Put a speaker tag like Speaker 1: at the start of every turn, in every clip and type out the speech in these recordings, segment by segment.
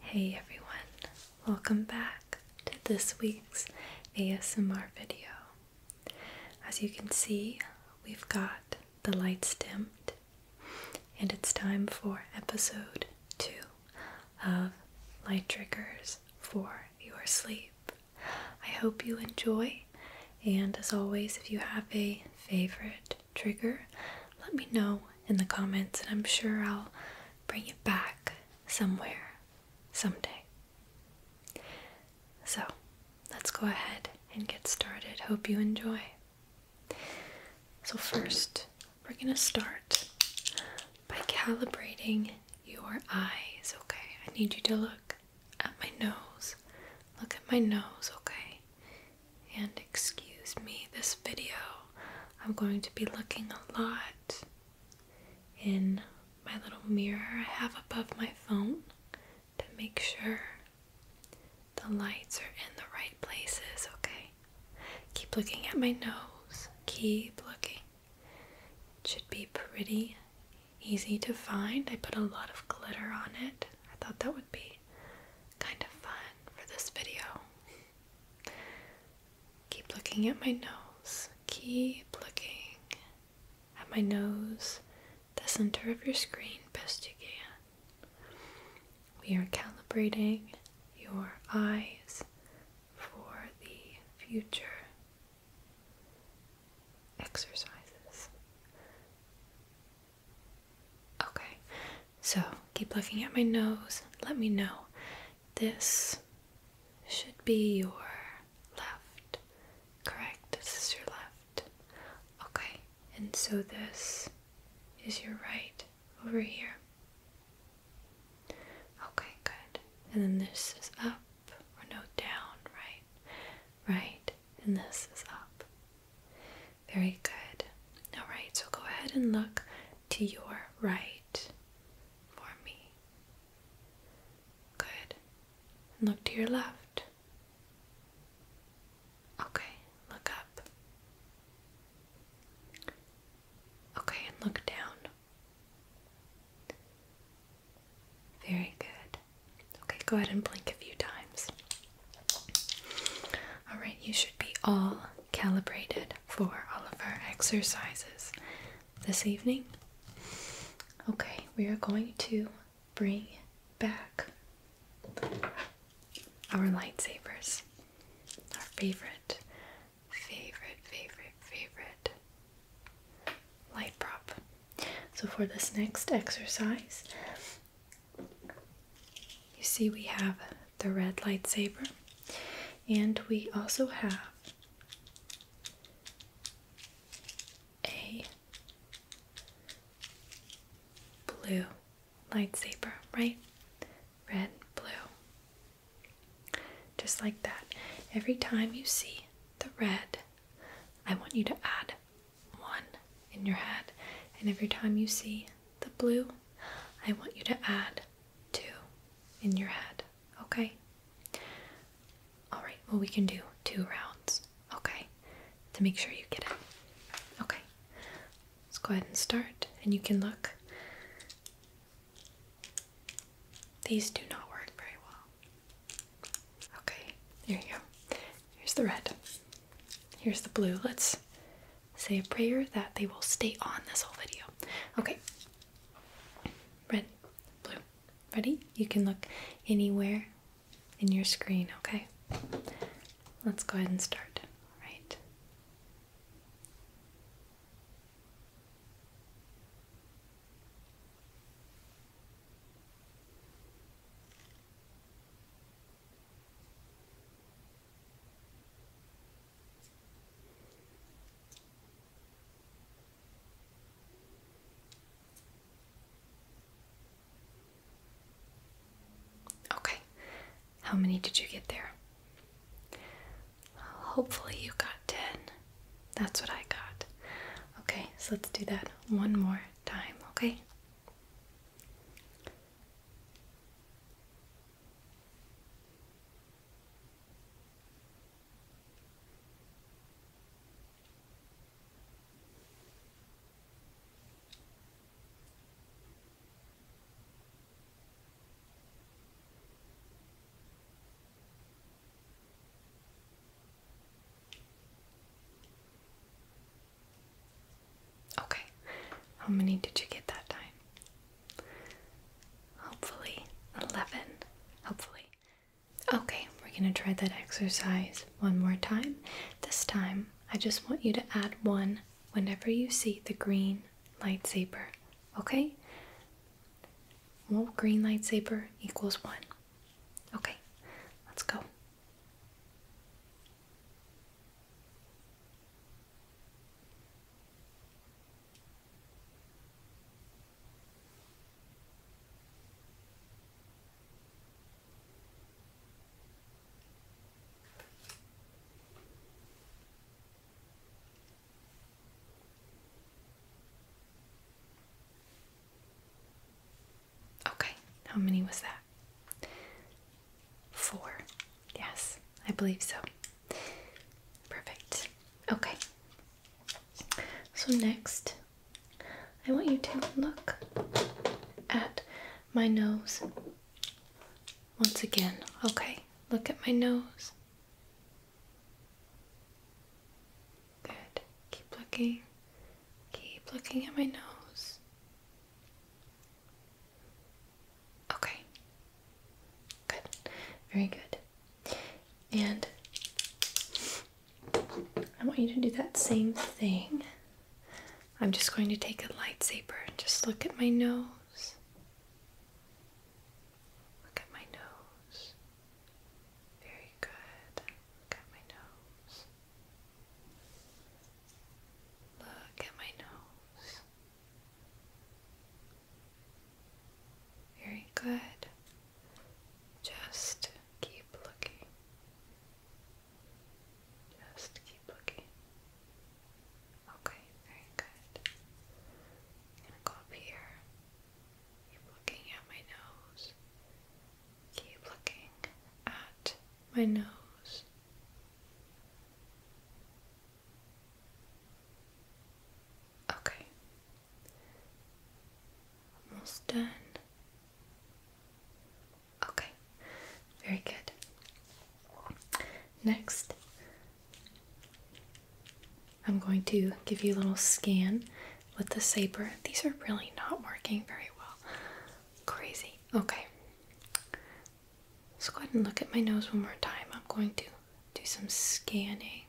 Speaker 1: Hey everyone, welcome back to this week's ASMR video. As you can see, we've got the lights dimmed, and it's time for episode 2 of Light Triggers for Your Sleep. I hope you enjoy, and as always, if you have a favorite trigger, let me know in the comments, and I'm sure I'll bring it back somewhere someday. So let's go ahead and get started. Hope you enjoy. So, first, we're going to start by calibrating your eyes, okay? I need you to look at my nose. Look at my nose, okay? And excuse me, this video I'm going to be looking a lot in my little mirror I have above my phone to make sure the lights are in the right places, okay? Keep looking at my nose, keep looking. It should be pretty easy to find. I put a lot of glitter on it. I thought that would be kind of fun for this video. Keep looking at my nose. Keep looking at my nose, the center of your screen, best you can. We are calibrating your eyes for the future exercises. Okay, so keep looking at my nose. Let me know. This should be your left. Correct? This is your left. Okay, and so this is your right over here. Okay, good. And then this is up, or no, down, right? Right, and this is up. Very good. Alright, so go ahead and look to your right for me. Good. look to your left. Okay, look up. Okay, look down. Very good. Okay, go ahead and blink a few times. All right, you should be all calibrated for all of our exercises this evening. Okay, we are going to bring back our lightsabers. Our favorite, favorite, favorite, favorite light prop. So, for this next exercise, you see, we have the red lightsaber, and we also have a blue lightsaber, right? Red, blue. Just like that. Every time you see the red, I want you to add one in your head. And every time you see the blue, I want you to add two in your head, okay? Alright, well, we can do two rounds, okay? To make sure you get it. Okay, let's go ahead and start, and you can look. These do not work very well. Okay, there you go. Here's the red. Here's the blue. Let's say a prayer that they will stay on this whole video. Okay. Red, blue. Ready? You can look anywhere in your screen, okay? Let's go ahead and start. All right. Okay, how many did you get there? hopefully, you got 10. That's what I got. Okay, so let's do that one more time, okay? Okay, how many did you get that time? Hopefully, 11. Hopefully. Okay, we're gonna try that exercise one more time. This time, I just want you to add one whenever you see the green lightsaber, okay? Well, green lightsaber equals one. Okay, let's go. Okay, how many was that? Four. Yes, I believe so. Perfect. Okay. So, next, I want you to look at my nose once again. Okay, look at my nose. Good. Keep looking. Keep looking at my nose. Okay. Good. Very good. And I want you to do that same thing. I'm just going to take a lightsaber and just look at my nose. Look at my nose. Very good. Look at my nose. Look at my nose. Very good. Just keep looking. Just keep looking. Okay, very good. I'm gonna go here. Keep looking at my nose. Keep looking at my nose. Okay. Almost done. Okay. Very good. Next, I'm going to give you a little scan with the saber. These are really not working very well. Crazy. Okay. Let's go ahead and look at my nose one more time. I'm going to do some scanning.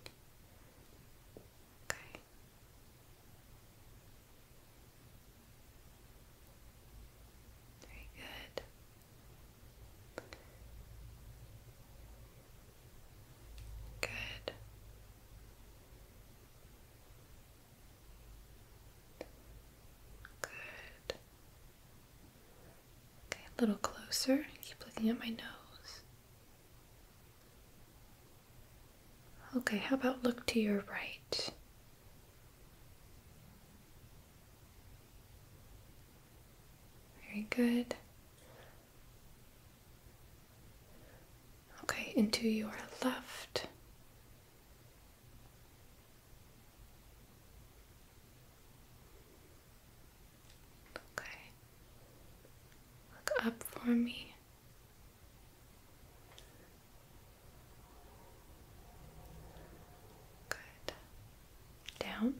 Speaker 1: Okay. Very good. Good. Good. Okay, a little closer. Keep looking at my nose. Okay, how about look to your right? Very good. Okay, into your left. Okay. Look up for me. Good. Down.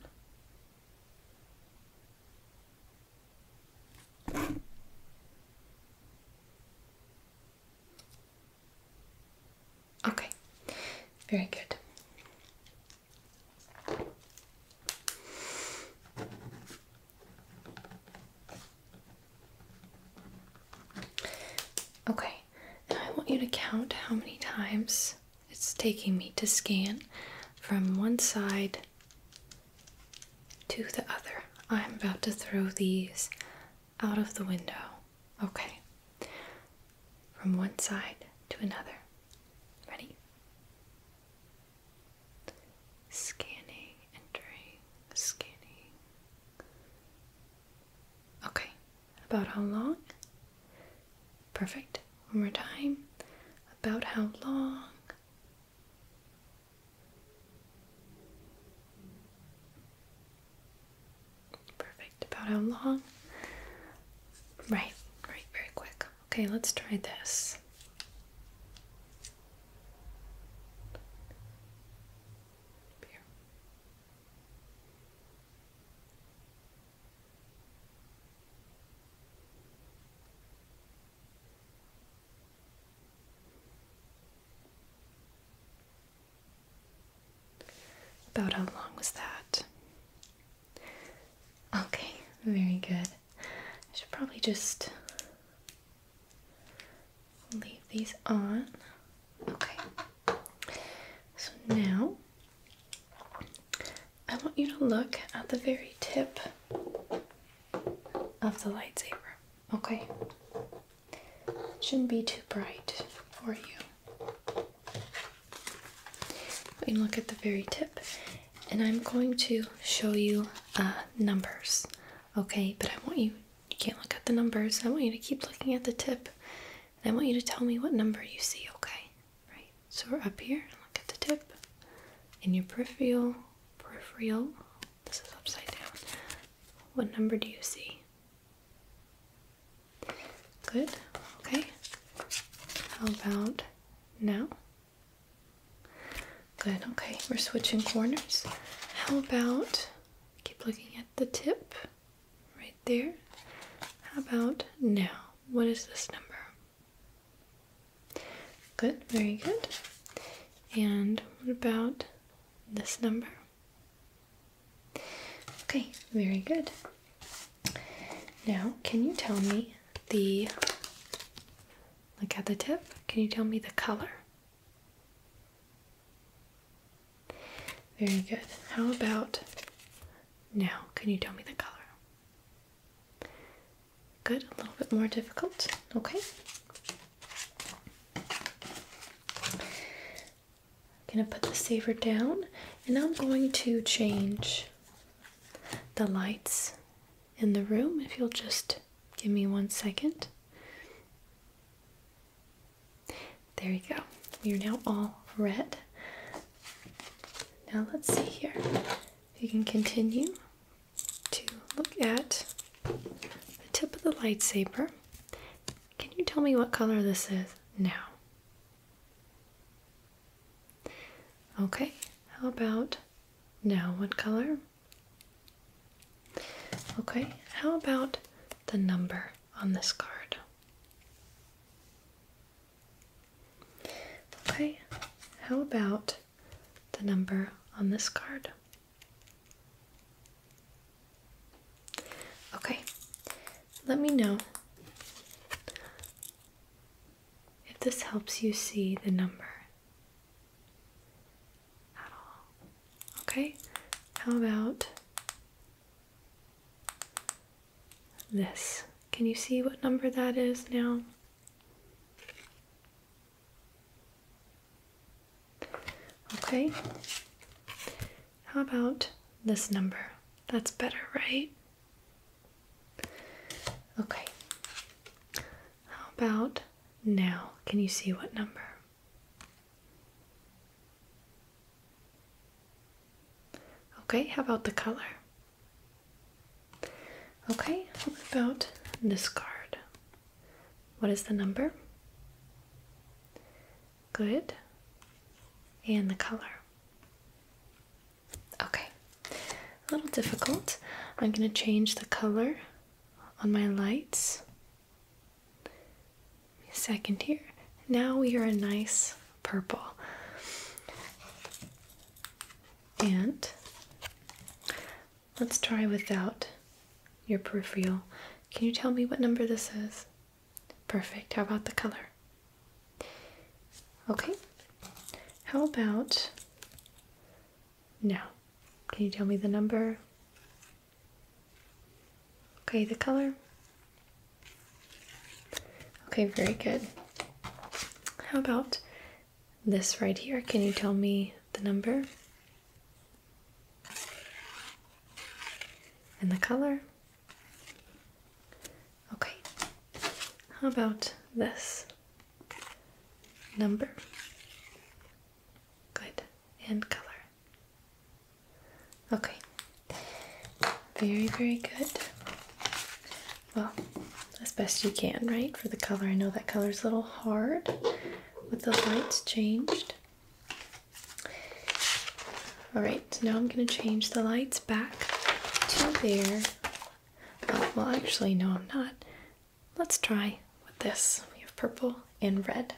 Speaker 1: Okay, very good. Okay, now I want you to count how many times it's taking me to scan from one side to the other. I'm about to throw these out of the window. Okay, from one side to another. Ready? Scanning, entering, scanning. Okay, about how long? Perfect. One more time. About how long? Perfect. About how long? Right, right, very quick. Okay, let's try this. About how long was that? Okay, very good. I should probably just leave these on. Okay. So now I want you to look at the very tip of the lightsaber. Okay. shouldn't be too bright for you and look at the very tip and I'm going to show you uh, numbers okay but I want you you can't look at the numbers I want you to keep looking at the tip and I want you to tell me what number you see okay right so we're up here look at the tip in your peripheral peripheral this is upside down what number do you see good okay how about now? Good, okay, we're switching corners. How about keep looking at the tip right there? How about now? What is this number? Good, very good. And what about this number? Okay, very good. Now, can you tell me the look at the tip? Can you tell me the color? Very good. How about now? Can you tell me the color? Good, a little bit more difficult. Okay. I'm gonna put the saver down and I'm going to change the lights in the room if you'll just give me one second. There you go. You're now all red. Now let's see here. You can continue to look at the tip of the lightsaber. Can you tell me what color this is now? Okay, how about now what color? Okay, how about the number on this card? Okay, how about the number on this card? Okay, let me know if this helps you see the number at all. Okay, how about this? Can you see what number that is now? Okay, how about this number? That's better, right? Okay. How about now? Can you see what number? Okay, how about the color? Okay, how about this card? What is the number? Good. And the color. Okay, a little difficult. I'm going to change the color on my lights. second here. Now we are a nice purple. And let's try without your peripheral. Can you tell me what number this is? Perfect. How about the color? Okay, how about now? Can you tell me the number? Okay, the color? Okay, very good. How about this right here? Can you tell me the number? And the color? Okay, how about this number? Good, and color. Okay, very, very good. Well, as best you can, right? For the color, I know that color is a little hard with the lights changed. All right, so now I'm going to change the lights back to their well, actually, no, I'm not. Let's try with this. We have purple and red.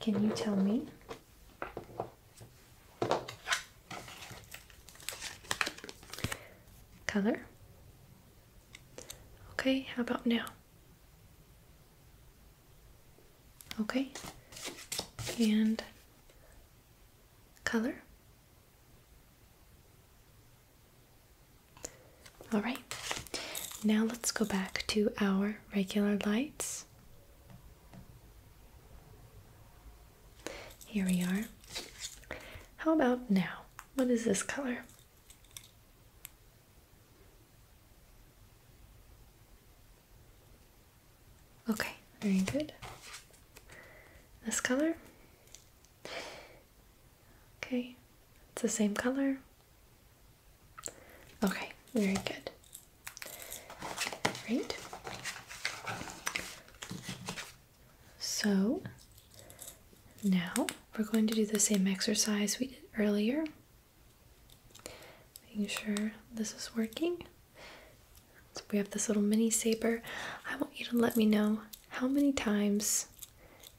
Speaker 1: Can you tell me? Color? Okay, how about now? Okay, and color. All right, now let's go back to our regular lights. Here we are. How about now? What is this color? Okay, very good. This color? Okay, it's the same color. Okay, very good. Great. So now we're going to do the same exercise we did earlier. Making sure this is working we have this little mini saber. I want you to let me know how many times,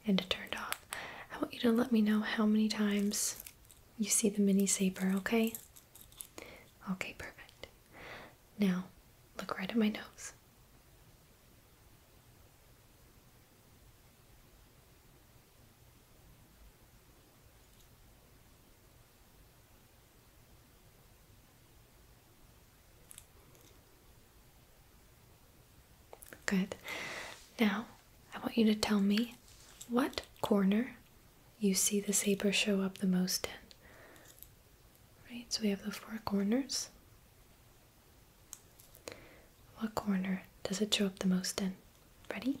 Speaker 1: and it turned off. I want you to let me know how many times you see the mini saber, okay? Okay, perfect. Now, look right at my nose. Good. Now, I want you to tell me what corner you see the saber show up the most in. Right, so we have the four corners. What corner does it show up the most in? Ready?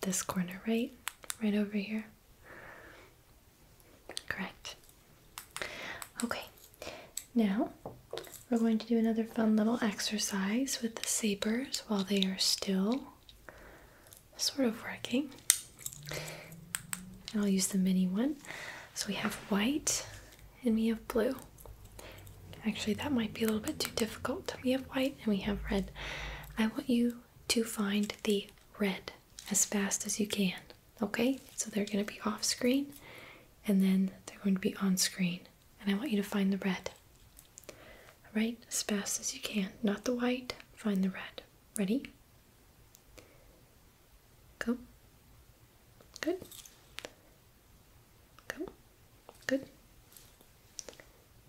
Speaker 1: This corner, right? Right over here. Correct. Okay, now we're going to do another fun little exercise with the sabers while they are still sort of working. And I'll use the mini one. So we have white and we have blue. Actually, that might be a little bit too difficult. We have white and we have red. I want you to find the red as fast as you can. Okay, so they're going to be off screen and then they're going to be on screen, and I want you to find the red. All right, as fast as you can, not the white, find the red. Ready? Go. Good. Go. Good.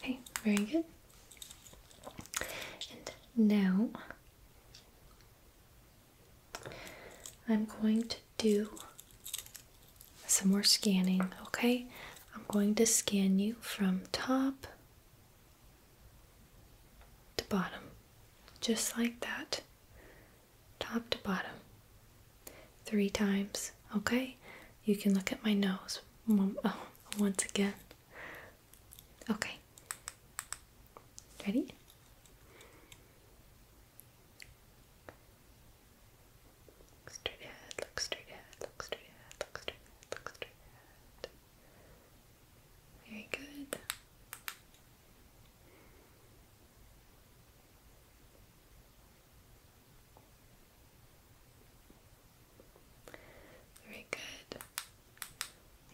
Speaker 1: Okay, very good. And now I'm going to do some more scanning, okay? I'm going to scan you from top to bottom, just like that, top to bottom three times, okay? You can look at my nose oh, once again. Okay. Ready? Look straight ahead, look straight ahead, look straight ahead, look straight ahead, look straight ahead. Very good. Very good.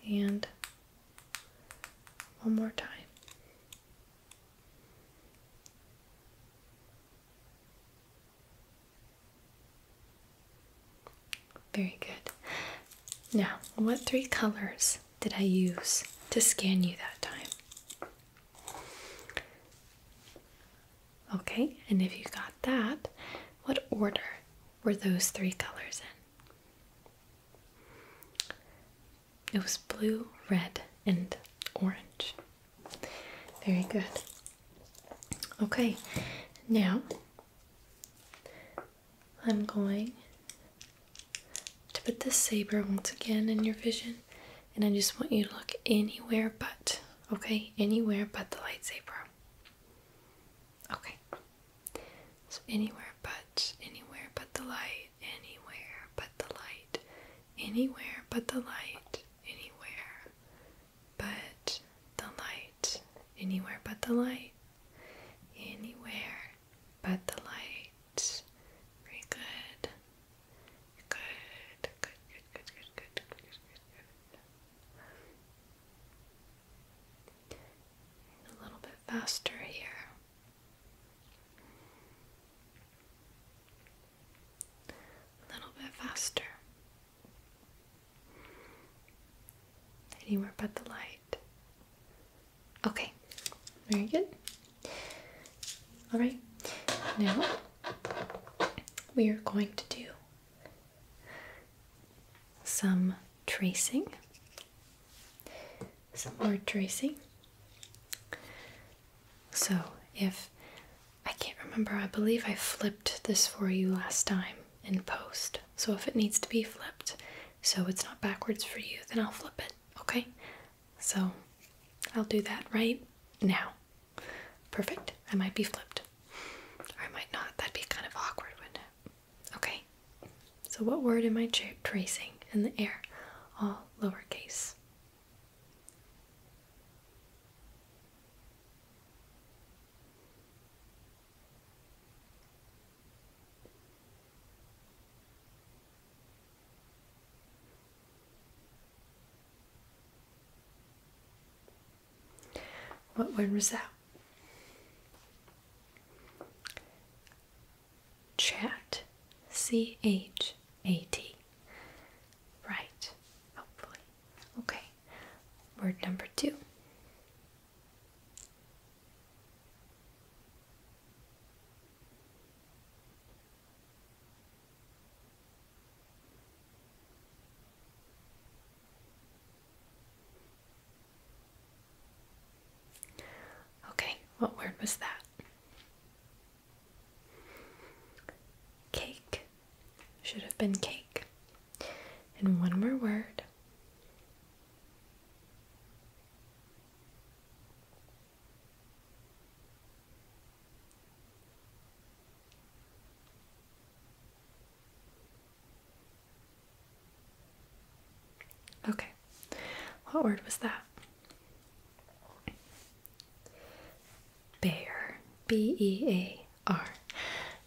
Speaker 1: And one more time. Very good. Now, what three colors did I use to scan you that time? Okay, and if you got that, what order were those three colors in? It was blue, red, and orange. Very good. Okay, now I'm going to put the saber once again in your vision and I just want you to look anywhere but, okay? Anywhere but the lightsaber. Okay. anywhere but, the light, anywhere but the light, anywhere but the light, anywhere but the light, anywhere but the light, anywhere but the light. Very good. Good, good, good, good, good, good, good, good, good. a little bit faster here. A little bit faster. Anywhere but the light. Okay, very good. All right, now we are going to do some tracing, some more tracing. So, if I can't remember, I believe I flipped this for you last time in post. So, if it needs to be flipped, so it's not backwards for you, then I'll flip it, okay? So, I'll do that right now. Perfect. I might be flipped. I might not. That'd be kind of awkward, Okay. So, what word am I tracing in the air? All lowercase. What word was that? Chat. C H A T. Right, hopefully. Okay, word number two. Okay, what word was that? Cake should have been cake. And one more word. Okay, what word was that? Bear, B E A R.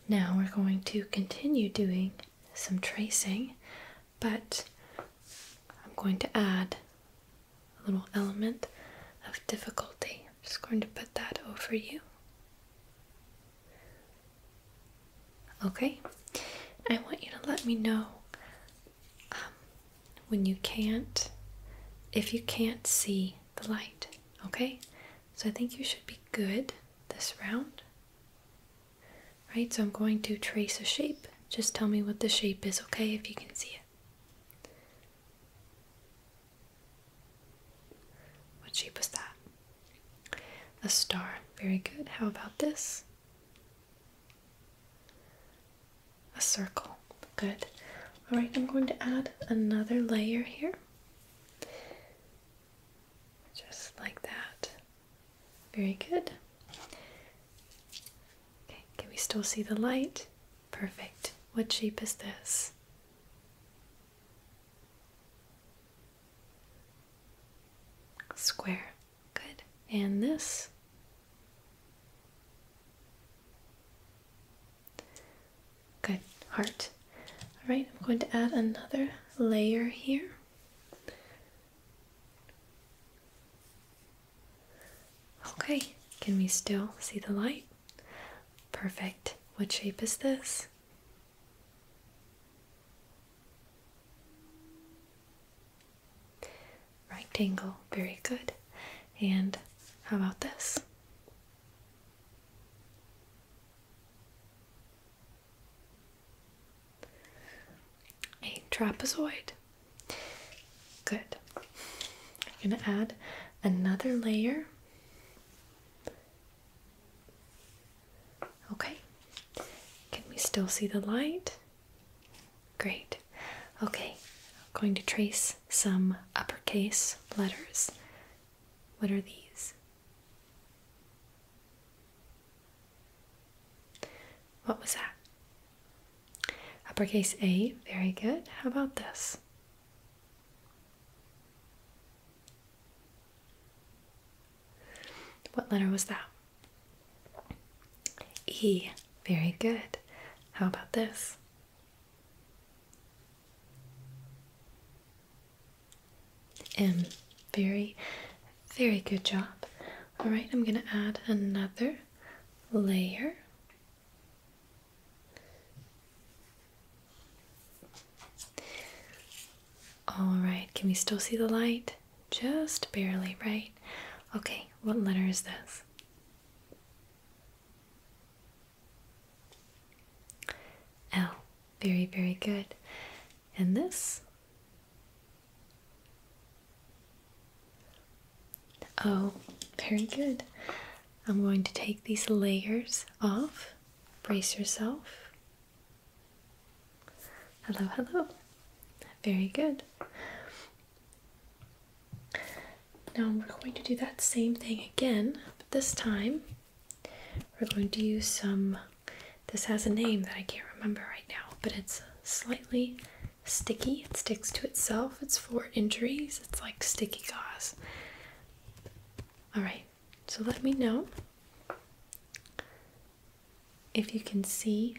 Speaker 1: Now we're going to continue doing some tracing, but I'm going to add a little element of difficulty. I'm just going to put that over you. Okay, I want you to let me know um, when you can't, if you can't see the light, okay? So I think you should be good this round. Right, so I'm going to trace a shape. Just tell me what the shape is, okay, if you can see it. What shape was that? A star. Very good. How about this? A circle. Good. All right, I'm going to add another layer here. Just like that. Very good. Okay, can we still see the light? Perfect. What shape is this? Square. Good. And this? Good. Heart. All right, I'm going to add another layer here. Okay, can we still see the light? Perfect. What shape is this? Rectangle. Very good. And how about this? A trapezoid. Good. I'm going to add another layer. Okay. Can we still see the light? Great. Okay. going to trace some uppercase letters. What are these? What was that? Uppercase A. Very good. How about this? What letter was that? E. Very good. How about this? M. Very, very good job. All right, I'm going to add another layer all right, can we still see the light? Just barely, right? Okay, what letter is this? L. Very, very good. And this? Oh, very good. I'm going to take these layers off. Brace yourself. Hello, hello. Very good. Now we're going to do that same thing again, but this time we're going to use some. This has a name that I can't remember right now, but it's slightly sticky. It sticks to itself. It's for injuries. It's like sticky gauze. Alright, so let me know if you can see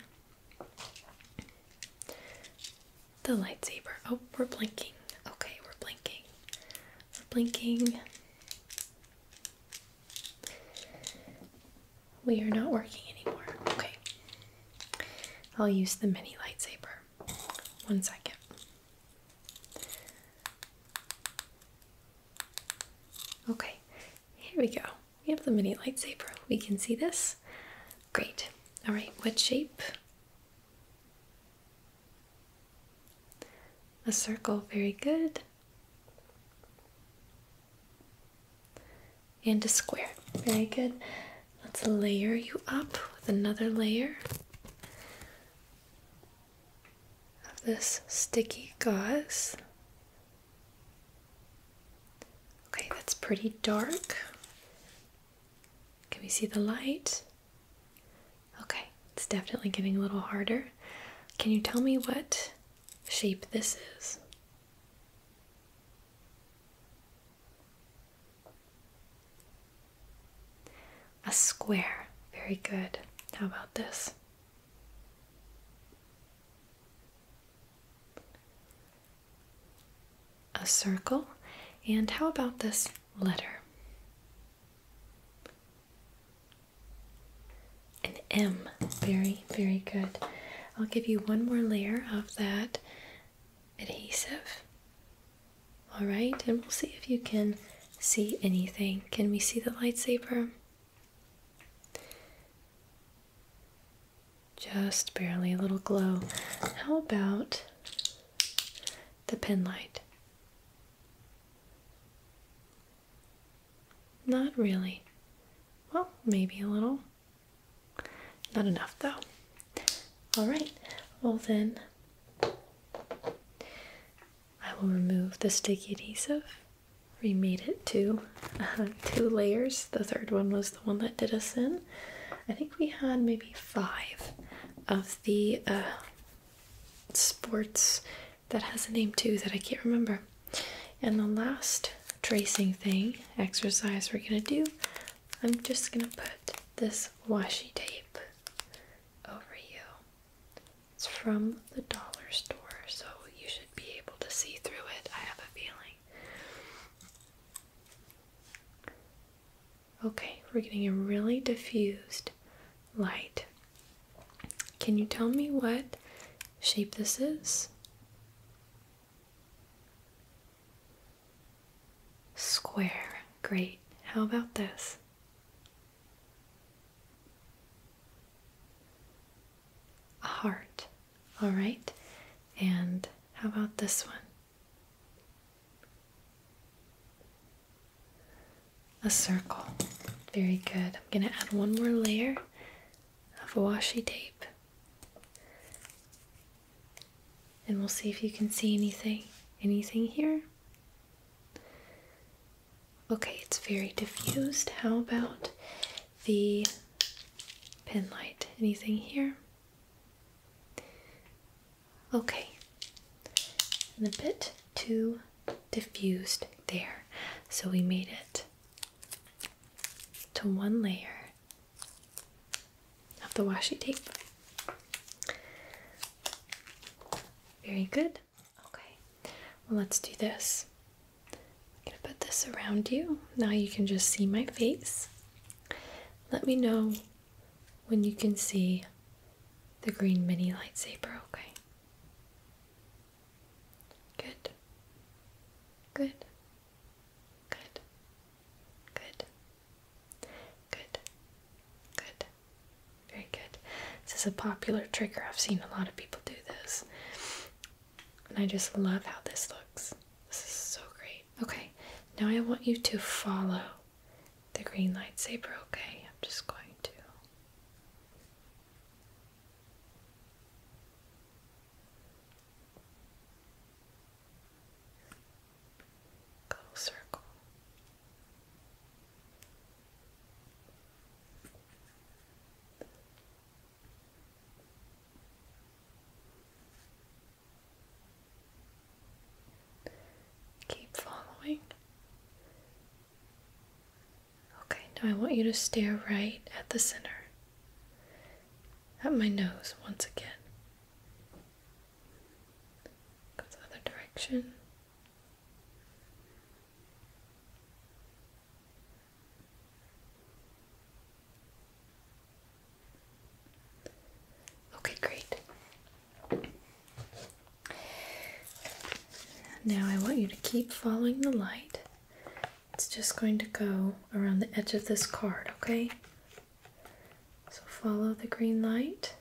Speaker 1: the lightsaber. Oh, we're blinking. Okay, we're blinking. We're blinking. We are not working anymore. Okay. I'll use the mini lightsaber. One second. Okay, here we go. We have the mini lightsaber. We can see this. Great. All right, what shape? A circle, very good. And a square, very good. Let's layer you up with another layer of this sticky gauze. Okay, that's pretty dark. Can we see the light? Okay, it's definitely getting a little harder. Can you tell me what shape this is? A square. Very good. How about this? A circle. And how about this letter? An M. Very, very good. I'll give you one more layer of that adhesive. All right, and we'll see if you can see anything. Can we see the lightsaber? Just barely a little glow. How about the pen light? Not really. Well, maybe a little. Not enough though. All right, well then, I will remove the sticky adhesive. Remade it to uh, two layers. The third one was the one that did us in. I think we had maybe five of the uh, sports that has a name too that I can't remember. And the last tracing thing, exercise we're going to do, I'm just gonna put this washi tape over you. It's from the dollar store, so you should be able to see through it, I have a feeling. Okay, we're getting a really diffused light. Can you tell me what shape this is? Square. Great. How about this? A heart. All right. And how about this one? A circle. Very good. I'm going to add one more layer of washi tape and we'll see if you can see anything. Anything here? Okay, it's very diffused. How about the pen light? Anything here? Okay, and a bit too diffused there, so we made it to one layer of the washi tape. Very good. Okay, well, let's do this. I'm gonna put this around you. Now you can just see my face. Let me know when you can see the green mini lightsaber, okay? Good. Good. Good. Good. Good. Good. Very good. This is a popular trigger. I've seen a lot of people do this. And I just love how this looks. This is so great. Okay, now I want you to follow the green lightsaber, okay? I'm just going to. Go circle. Keep following. Okay, now I want you to stare right at the center, at my nose once again. Go the other direction. Okay, great. Now I want you to keep following the light. It's just going to go around the edge of this card, okay? So follow the green light.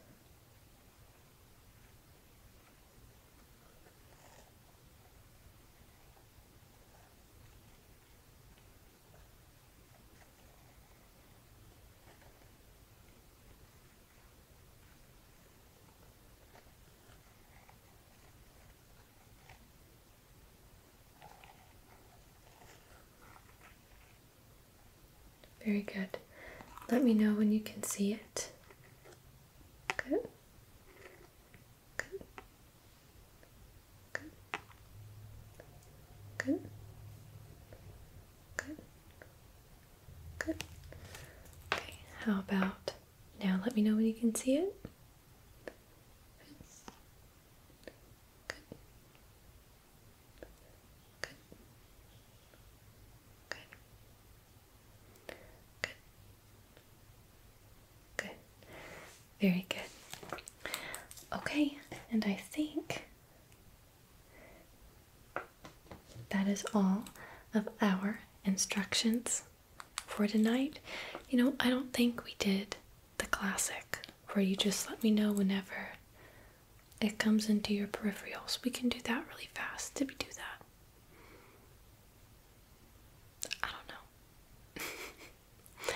Speaker 1: Very good. Let me know when you can see it. Good. Good. Good. Good. Good. Okay, how about now let me know when you can see it? Good. Good. Good. Good. Good. Very good. Okay, and I think that is all of our instructions for tonight. You know, I don't think we did the classic where you just let me know whenever it comes into your peripherals. We can do that really fast. Did we do that? I don't know.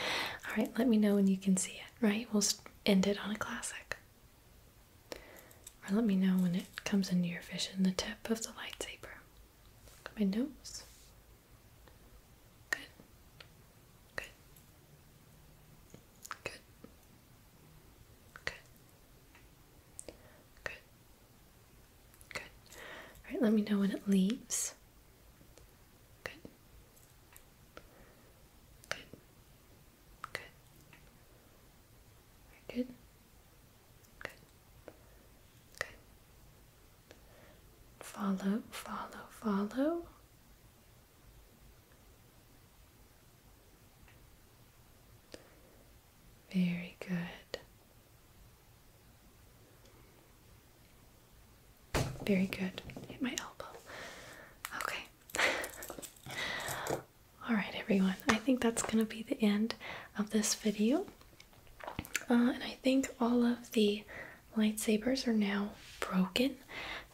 Speaker 1: All right, let me know when you can see it, right? We'll end it on a classic. Or let me know when it comes into your vision, the tip of the lightsaber. my nose. Good. Good. Good. Good. Good. Good. All right, let me know when it leaves. Good. Good. Good. good. Good. Good. Follow, follow, follow. Very good. Very good. Hit my elbow. Okay. Alright, everyone. I think that's going to be the end of this video. Uh, and I think all of the lightsabers are now broken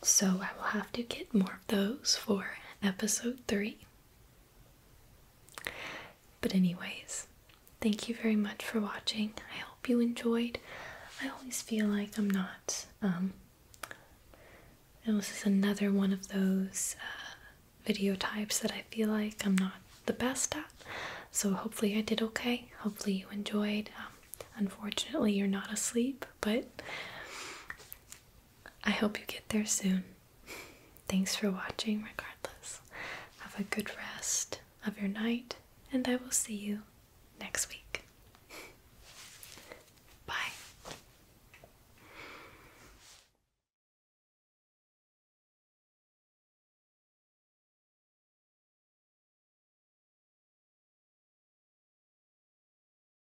Speaker 1: so I will have to get more of those for episode 3. But, anyways, thank you very much for watching. I hope you enjoyed. I always feel like I'm not. Um, this is another one of those uh, video types that I feel like I'm not the best at. So hopefully I did okay. Hopefully you enjoyed. Um, unfortunately, you're not asleep, but I hope you get there soon. Thanks for watching, regardless. Have a good rest of your night, and I will see you next week. Bye.